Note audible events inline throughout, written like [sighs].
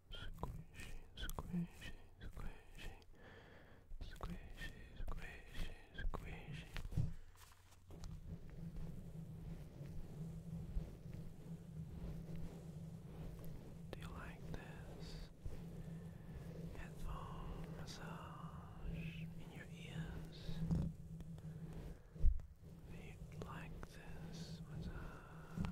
squishy, squishy, squishy, squishy, squishy, squishy. Do you like this headphone massage in your ears? Do you like this massage?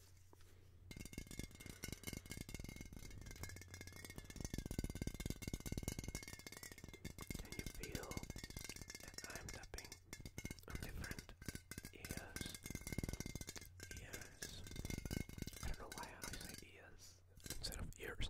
Can you feel that I'm tapping on different ears? Ears. I don't know why I say ears instead of ears.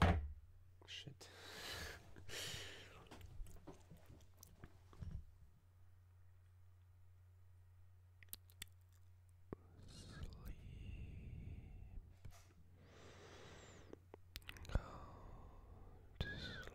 Shit. Sleep. Go to sleep.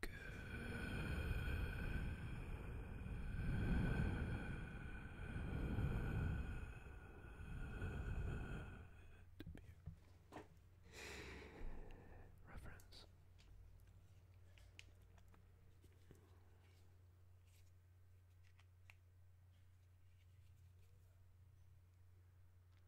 Good. Reference.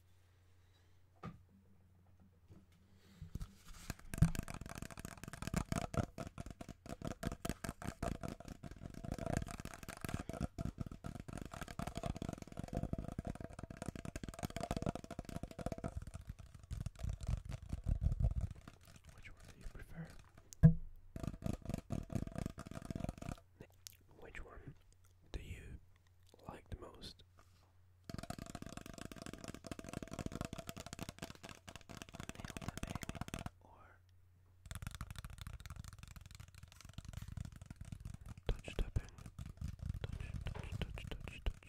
Which one do you prefer? Which one do you like the most. Nailed it, Or touch tapping. Touch, touch, touch, touch, touch.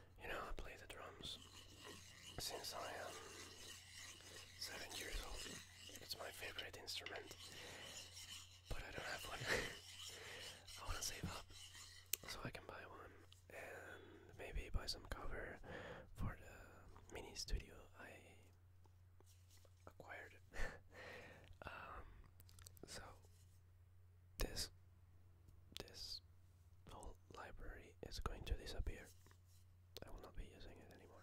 You know, I play the drums since I am seven years old. It's my favorite instrument, but I don't have one. [laughs] I want to save up so I can buy one and maybe buy some cover for the mini studio I acquired. [laughs] Um, so this this whole library is going to disappear. I will not be using it anymore.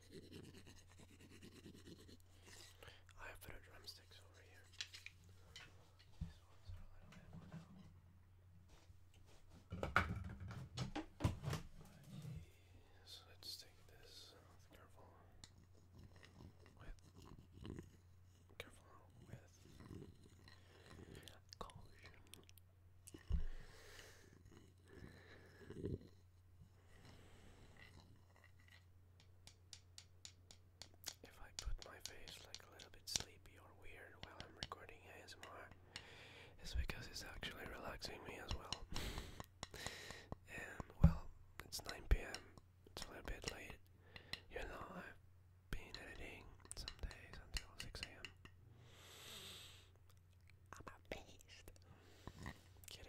I have put drumsticks over here. These ones are a little bit worn out. Jeez, let's take this with careful with careful with caution. If I put my face like a little bit sleepy or weird while I'm recording ASMR, it's because it's actually relaxing me as well. [laughs] and well, it's 9 pm, it's a little bit late. You know, I've been editing some days until 6 am. I'm amazed. Kidding.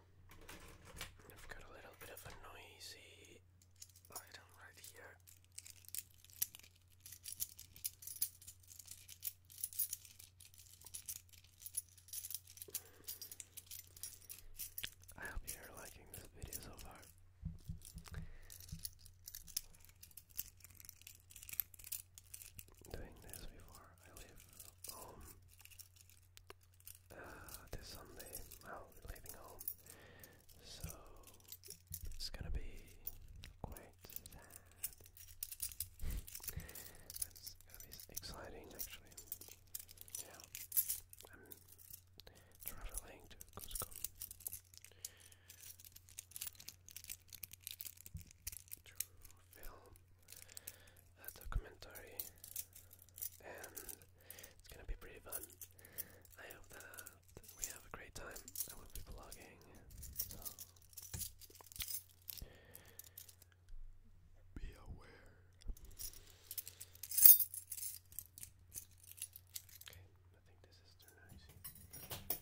I've got a little bit of a noisy item right here. I hope you're liking this video so far. Doing this before I leave home uh, this Sunday. Well, we're leaving home, so it's gonna be quite sad. [laughs] it's gonna be exciting, actually. Yeah, I'm traveling to Cusco. To film a documentary, and it's gonna be pretty fun. I hope that we have a great time. I will be vlogging, be aware. Okay, I think this is too noisy.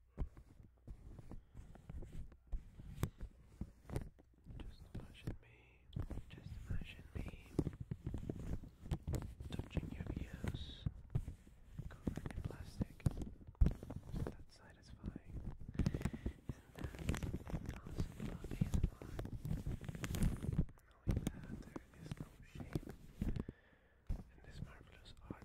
Just imagine me, just imagine me touching your ears, covered in plastic. Isn't that satisfying? Isn't that awesome about ASMR? Knowing that there is no shape in this marvelous art.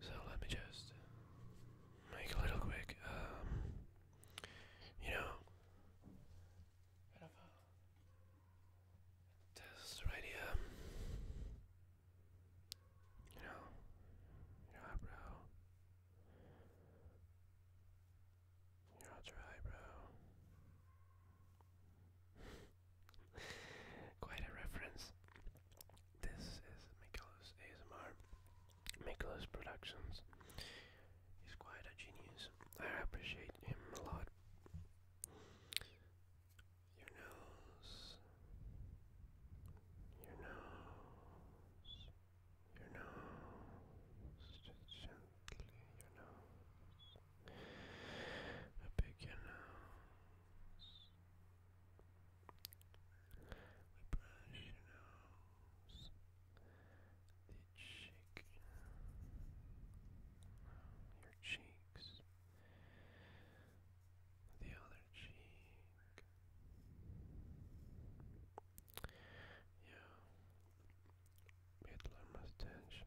So let me just make a little quick, um, you know, bit right here. You know, your eyebrow. You're all dry, bro. [laughs] Quite a reference. This is Mikolas ASMR. Mikolas Productions. He's quite a genius. I appreciate him a lot. Your nose. Your nose your nose, just gently your nose, I pick your nose, we brush your nose, the cheek, your cheeks, the other cheek. Yeah. Hitler mustache.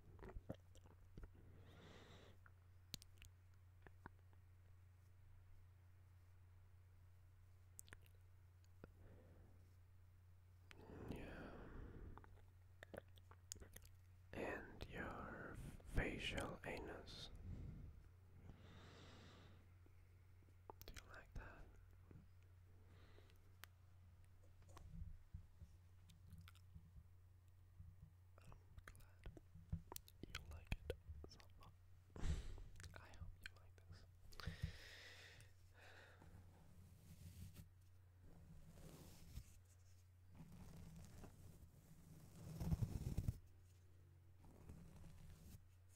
Yeah. And your facial anus. Do you like that? I'm glad you like it [sighs] [sighs] I hope you like this.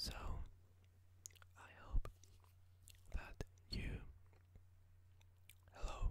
So, I hope that you. Hello.